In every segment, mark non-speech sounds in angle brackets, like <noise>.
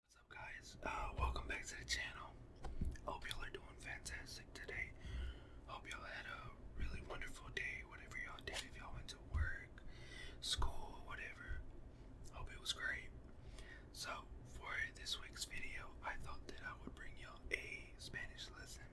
What's up guys? Uh, welcome back to the channel. Hope y'all are doing fantastic today. Hope y'all had a really wonderful day, whatever y'all did, if y'all went to work, school, whatever. Hope it was great. So for this week's video, I thought that I would bring y'all a Spanish lesson.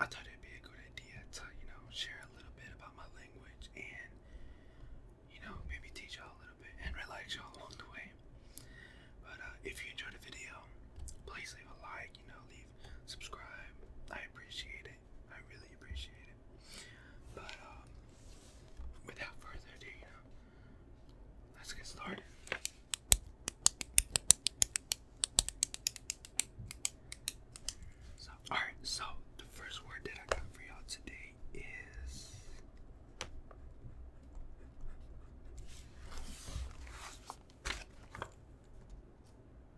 I thought it'd be a good idea to, you know, share a little bit about my language and you know, maybe teach y'all a little bit and relax y'all along the way. But uh, if you enjoyed the video, please leave a like, you know, leave, subscribe. I appreciate it. I really appreciate it. But um, without further ado, you know, let's get started. So, alright, so the first word that I got for y'all today is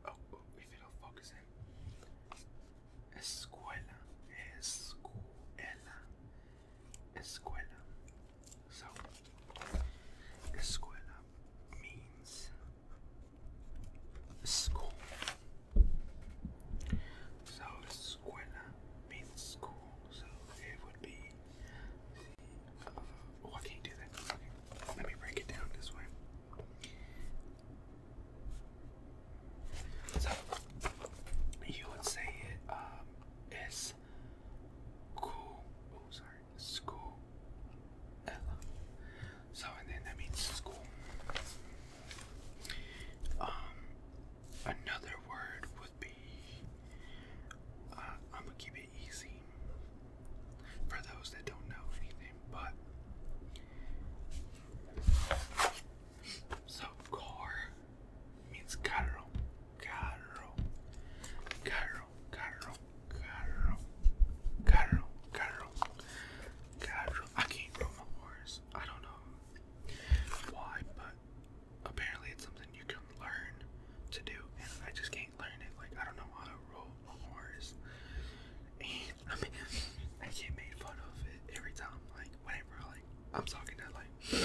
Oh, oh if it'll focus in. Escuela. Escuela. Escuela. So, escuela means school. So escuela means school, so it would be the, uh, oh I can't do that. Okay. Let me break it down this way. So you would say it um is cool oh sorry school Ella. So and then that means school. Um, another word would be. Uh, I'm gonna keep it easy for those that don't know anything, but so car means carro, carro, carro, carro, carro, carro, carro, I can't roll my horse. I don't know why, but apparently it's something you can learn to do, and I just can't learn it. Like I don't know how to roll a horse, and I mean <laughs> I get made fun of it every time. Like whenever like I'm talking to like <gasps>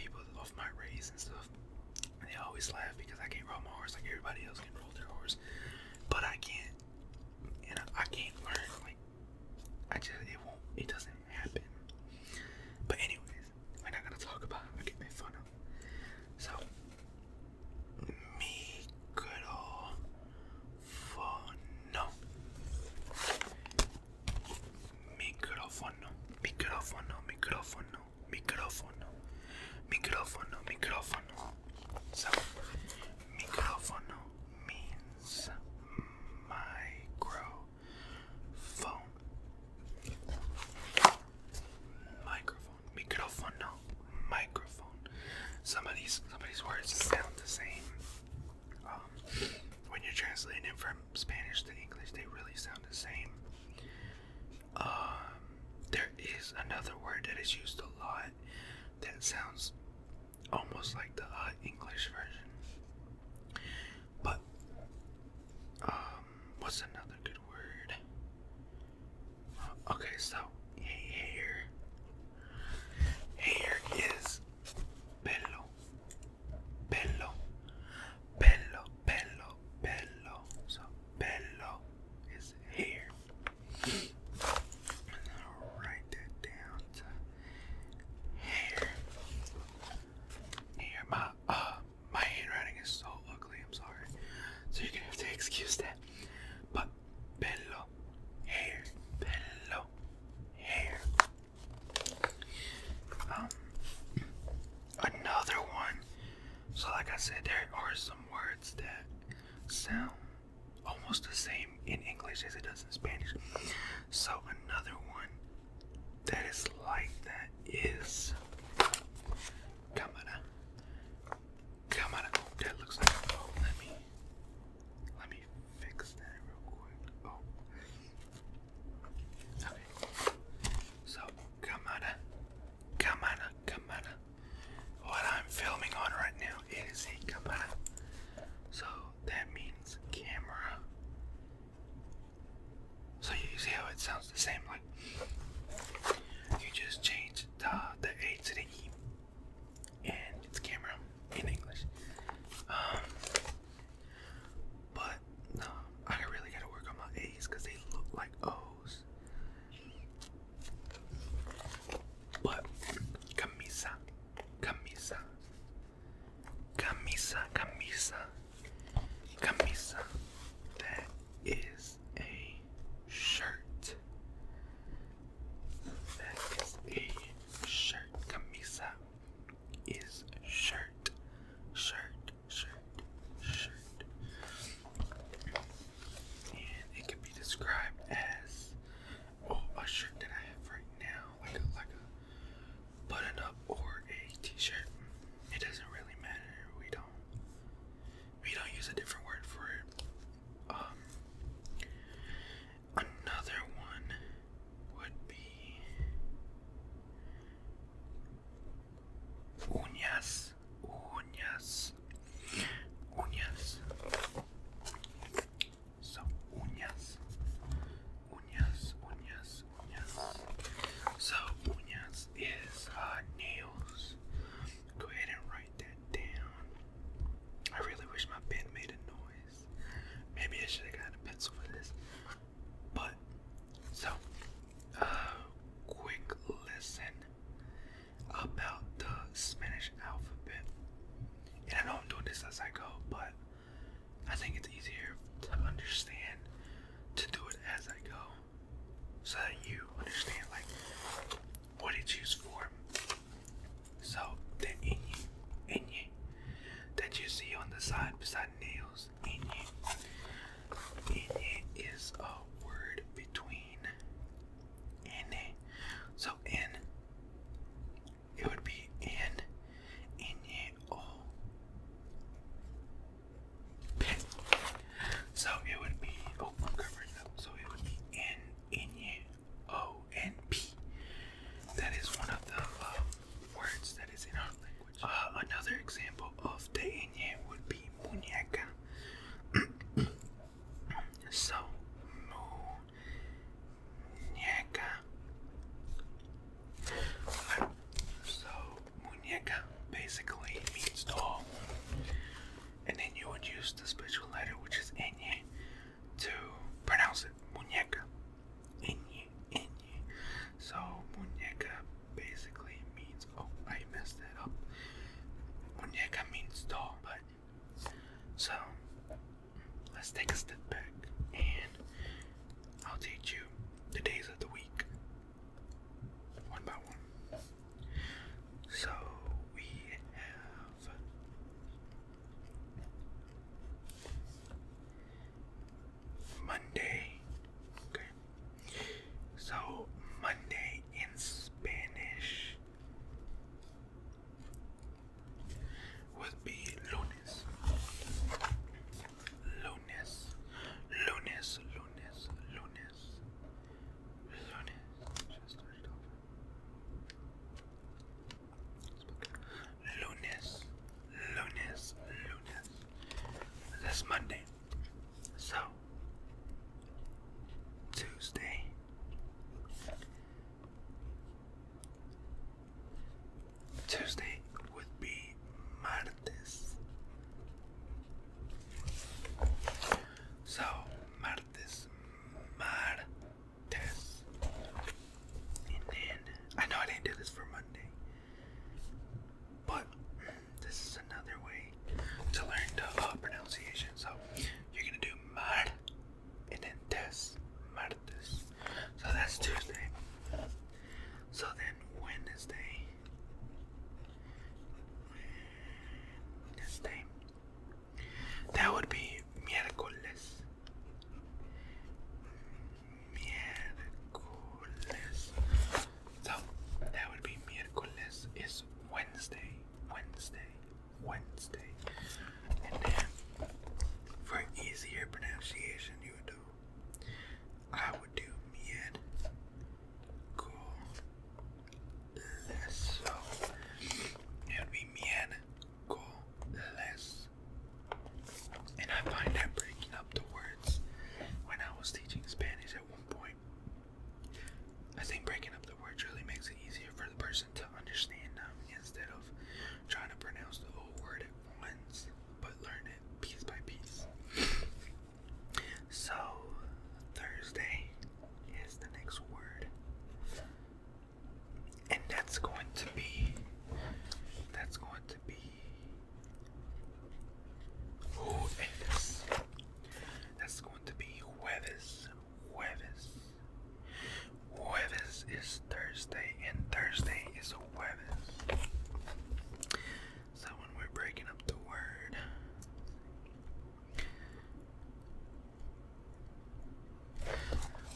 people of my race and stuff, and they always laugh because I can't roll my horse like everybody else can roll their horse, but I can't, and I can't learn like I just it won't it doesn't happen. But anyways, we're not gonna talk about it. I get made fun of. So me good old fun no micrófono, micrófono, micrófono, micrófono, micrófono, micrófono. So, micrófono means microphone. Microphone. Microphone, Microphone. Some of these, some of these words sound the same. Um, when you're translating it from Spanish to English, they really sound the same. Um, there is another word that is used a lot that sounds almost like the uh, English version. But um, what's another good word? Uh, okay, so hair. Hair is pelo, pelo, pelo, pelo, So pelo is hair. write that down hair. Here, my uh, my handwriting is so ugly. I'm sorry, so you're gonna have to <laughs> excuse that. But bello, hair, bello, hair. Um, another one. So, like I said, there are some words that sound almost the same in English as it does in Spanish. So another one that is like that is cámara. Cámara. Oh, that looks like a oh, Let me let me fix that real quick. Oh. Okay. So cámara. Cámara. Cámara. What I'm filming on right now is a cámara. So that means camera. So you see how it sounds the same, like you just change the, the A to the E and it's camera in English. Um, but no, I really gotta work on my A's because they look like O's. But camisa, Camisa. Camisa, camisa. Camisa. That is a shirt. That is a shirt. Camisa is shirt. Shirt, shirt, shirt. And it can be described as Oh, a shirt that I have right now, like a like a button up or a t-shirt. It doesn't really matter. We don't we don't use a different word for it. Um another one would be uñas, uñas, uñas. So uñas, uñas, uñas, uñas. So uñas is uh, nails. Go ahead and write that down. I really wish my pen made a noise. Maybe I should have gotten a pencil for this. But so, uh, quick lesson about the Spanish alphabet. And I know I'm doing this as I go, but I think it's easier to understand to do it as I go. So that you understand like what it's used for. So the inye, inye that you see on the side beside nails, inye. Inye is a word between N. So N it would be in Ineo pit. So it would be oh i up. So it would be in Ineo N P. That is one of the uh, words that is in our language. Uh, another example of the Inye would be muñeca. <clears throat> So muñeca. So muñeca basically means doll. And then you would use the special letter which is ñ to pronounce it. Muñeca. Ñ, ñ. So muñeca basically means oh I messed it up. Muñeca means doll, but so let's take a step back and I'll teach you the days of the week one by one. So we have Monday. Okay. So Monday in Spanish would be lunes. Lunes. Lunes. Lunes. Lunes. Lunes. Just start it over. Lunes. Lunes. Lunes. That's Monday. So Tuesday. Tuesday would be martes. So martes, martes, and then I know I didn't do this for Monday, but this is another way to learn the uh, pronunciation. So you're gonna do mar and then this martes. So that's Tuesday. So then Wednesday. Wednesday. That would be miércoles. Miércoles. So that would be miércoles is Wednesday. Wednesday. Wednesday. And then for easier pronunciation, you would do I would do mid cool less so it would and I find that breaking up the words when I was teaching Spanish at one point I think breaking up the words really makes it easier for the person to to understand them instead of trying to pronounce the whole word at once, but learn it piece by piece. So, Thursday is the next word. And that's going to be that's going to be who is that's going to be Hueves Hueves Jueves is Thursday, and Thursday is Jueves. So when we're breaking up the word,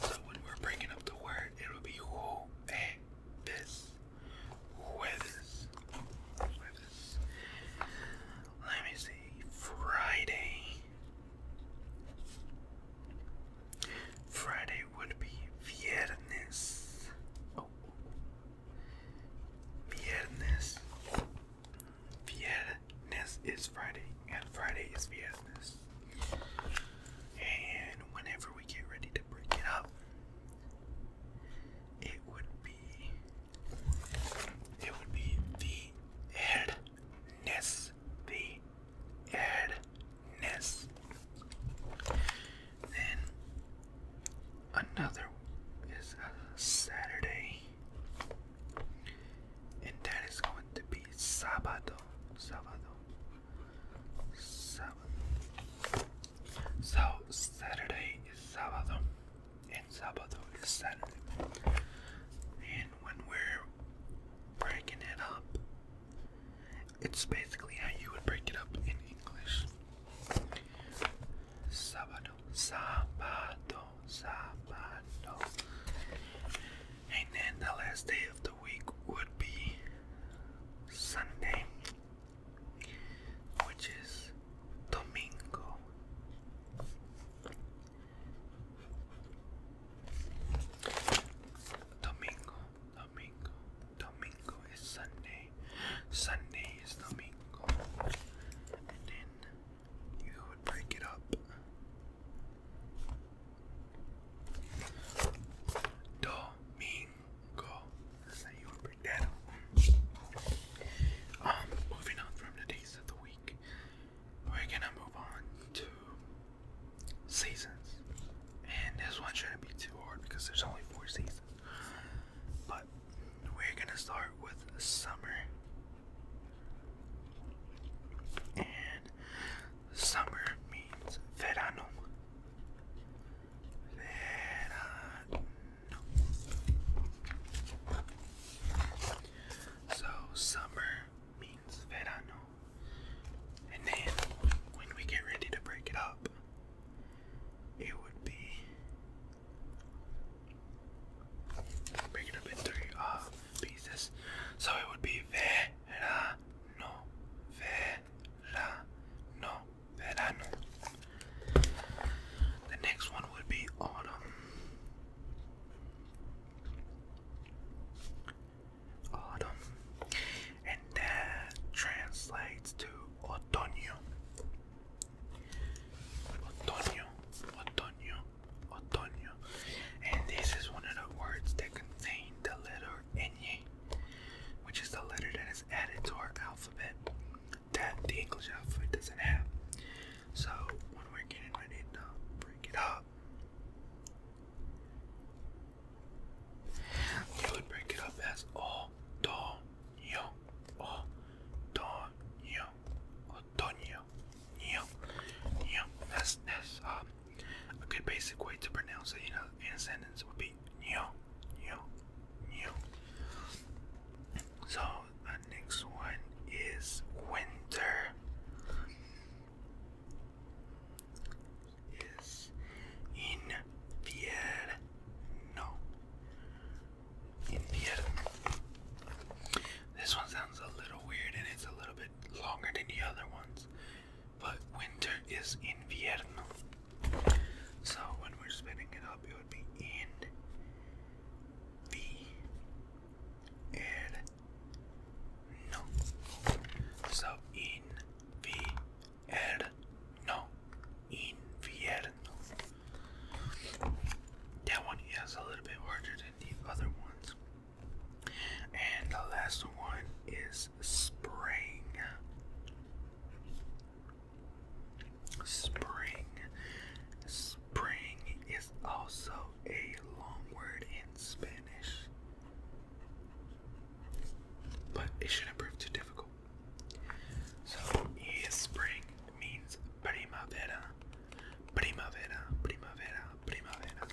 so when we're breaking up the word, it'll be Jueves. Jueves. Let me see. Friday. Friday would be viernes. Oh. Viernes. Viernes is Friday, and Friday is viernes. And whenever we get ready to break it up, it would be it would be the head this the ad ness. Then another is Saturday, and that is going to be Sabado, Sabado, Sabado. So Saturday is Sabado and Sabado is Sunday, And when we're breaking it up, it's basically how you would break it up in English. Sabado, Sabado, Sabado. And then the last day of the week would be Sunday, which is Domingo. Domingo, Domingo, Domingo is Sunday. Sunday is Domingo. And then you would break it up. Domingo. That's how you would break that up. Um, moving on from the days of the week we're gonna move on to seasons. And this one shouldn't be too hard because there's only four seasons. But we're gonna start with summer. And summer means verano. Verano. So summer means verano. And then when we get ready to break it up, it would be break it up in three uh, pieces. So it would be verano, verano, verano. The next one would be autumn autumn, and that translates to otoño. Otoño, otoño, otoño, and this is one of the words that contain the letter ñ, which is the letter that is added to our alphabet that the English alphabet doesn't have. So when we're getting ready to break it up, we would break it up as all Otoño, Otoño, Otoño, Nyo, Nyo. That's, that's um, a good basic way to pronounce it, you know, in a sentence would be Nyo, Nyo, Nyo. So, now next one is winter. Is invierno. Invierno. This one sounds a little weird and it's a little bit longer than the other ones, but winter is invierno. So when we're spinning it up, it would be in. V el no. So invierno, invierno. That one is a little bit harder than the other ones. And the last one is spring. Spring. Spring also a long word in Spanish, but it shouldn't prove too difficult. So, spring means primavera, primavera, primavera, primavera.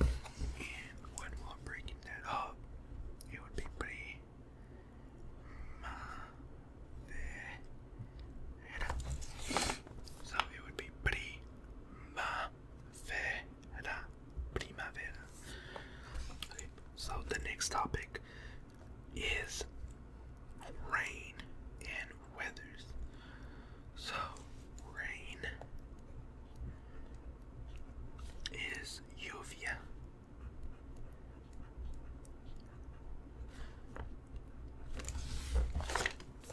And when we're breaking that up, it would be Primavera. So it would be primavera. Primavera. Okay, so the next topic is rain and weather. So rain is lluvia.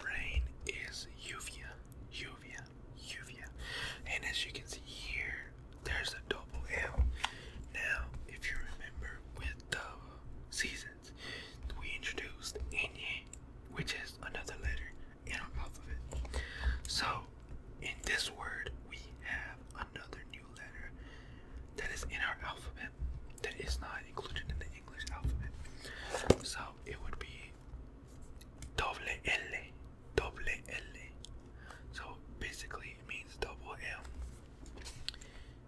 Rain is uvia, uvia, uvia. And as you can see here, there's a double L. Now, if you remember with the seasons, we introduced Enye, which is another letter in our alphabet. So, in this word, we have another new letter that is in our alphabet that is not included in the English alphabet. So it would be doble L, doble L. So basically it means double L.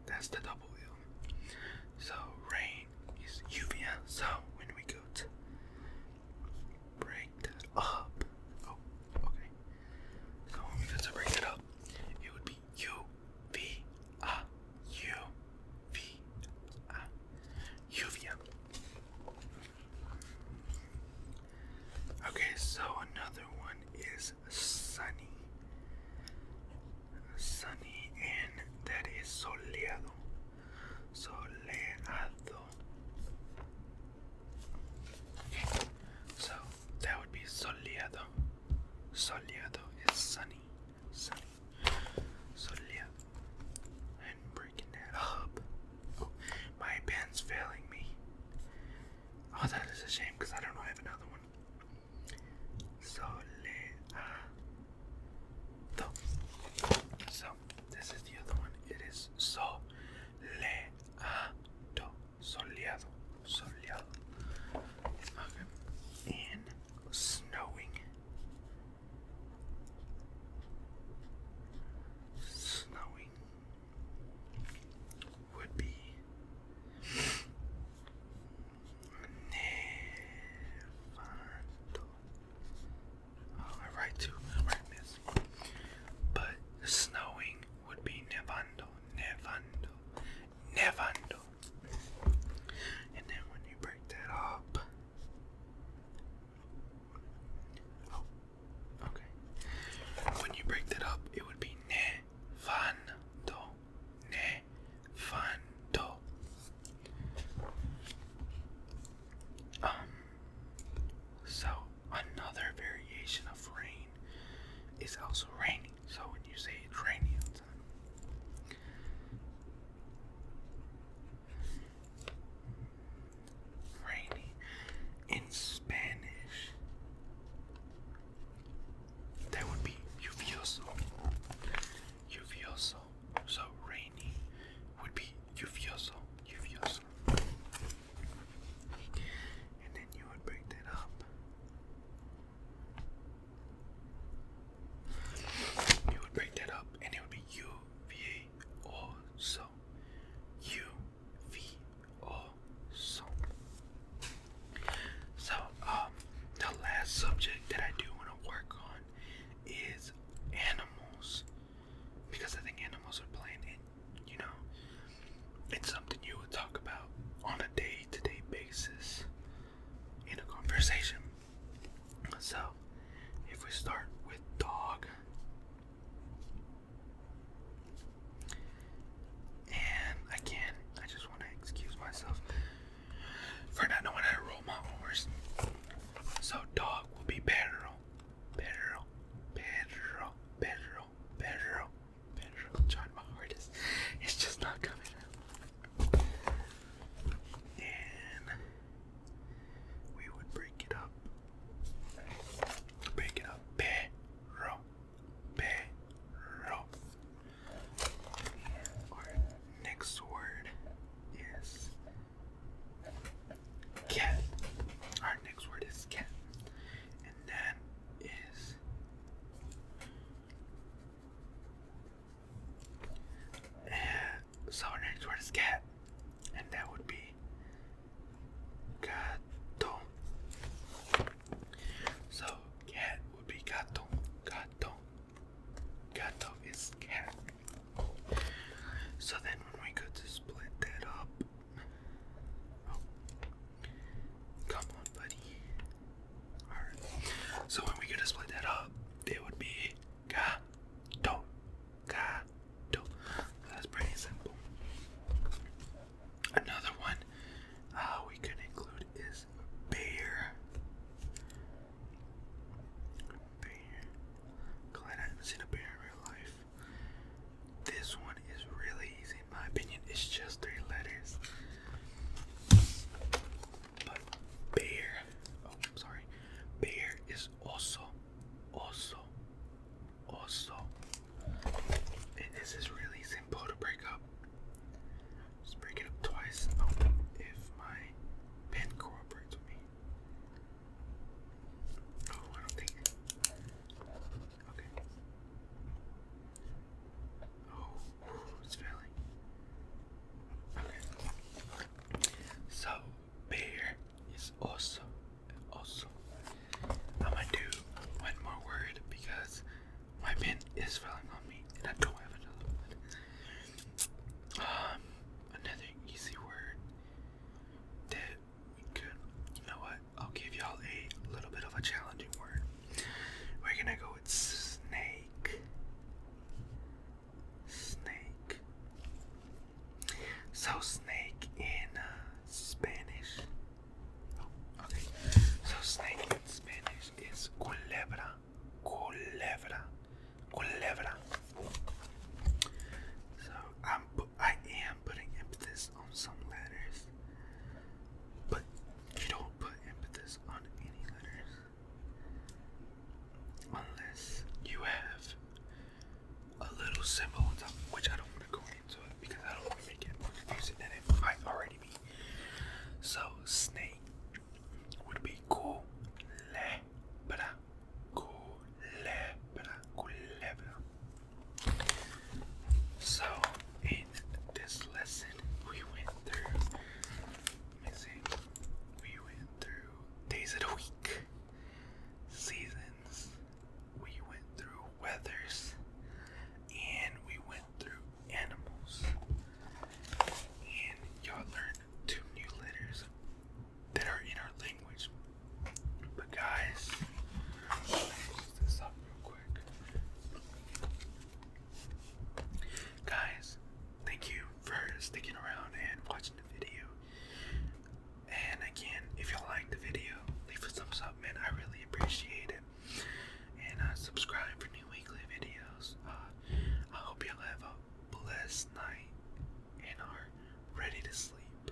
That's the double L. So rain is lluvia. So when we go to break that up, oh, okay. So when we go to break it up, it would be U V A U V A Okay, so another one is sunny. Sunny and that is soleado. Soleado. so that would be soleado. Soleado is sunny, sunny, soleado, and breaking that up. Oh, my pen's failing me. Oh, that is a shame because I don't know I have another one. Soleado. So this is the other one. It is soleado, soleado soleado okay. and snowing snowing would be nevando oh, I write two, I write but snowing would be nevando nevando nevando. And then when you break that up, oh, okay. When you break that up, it would be nevando, nevando. Um. So another variation of rain is also raining. So when you say it's raining, Rainy in Spanish. That would be lluvioso. Lluvioso. So rainy would be lluvioso. Lluvioso. And then you would break that up you would break that up and it would be UVA So, um, the last subject that I do want to work on is animals. Because I think animals are playing in, you know, it's something you would talk about on a day day to day basis in a conversation. So, if we start with dog, and again, I just want to excuse myself for not knowing how to roll my R's. So, dog will be better, Pedro, Pedro, Pedro, Pedro, better. I'm my hardest. It's just not coming out. And we would break it up. Break it up. Perro. Perro. Our next word is cat. Our next word is cat. And that is and so our next word is cat, and that would be gato. So cat would be gato, gato, is cat. So then when we go to split that up, oh. come on, buddy. So when we could have split that up, it would be ga do. Ga do. That's pretty simple. Another one uh, we could include is bear. Bear. Glad I haven't seen a bear in real life. This one is really easy in my opinion. It's just three letters. But beer, oh sorry, beer is also, also, also. this is really simple to break up. Just break it up twice. Oh, if my pen cooperates with me. Oh, I don't think. Okay. Oh, it's failing. Okay. So bear is also also. I'm gonna do one more word because my pen is failing on me and I don't have another one. Um another easy word that we could you know what? I'll give y'all a little bit of a challenging word. We're gonna go with snake. Snake. So snake in uh, Spanish. Oh, okay. So snake in Spanish is culebra. Culebra. Culebra. So I'm I am putting emphasis on some letters. But you don't put impetus on any letters unless you have a little symbol on top, which I don't want to go into it because I don't want to make it confusing than it might already be. So, snake would be culebra, culebra, culebra. So, in this lesson, we went through, let we went through days of the week, seasons, we went through weathers, and we went through animals. And y'all learned two new letters that are in our language. But guys, let this up real Guys, thank you for sticking around and watching the video. And again, if you like the video, leave a thumbs up, man. I really appreciate it. And uh, subscribe for new weekly videos. Uh, I hope y'all have a blessed night and are ready to sleep.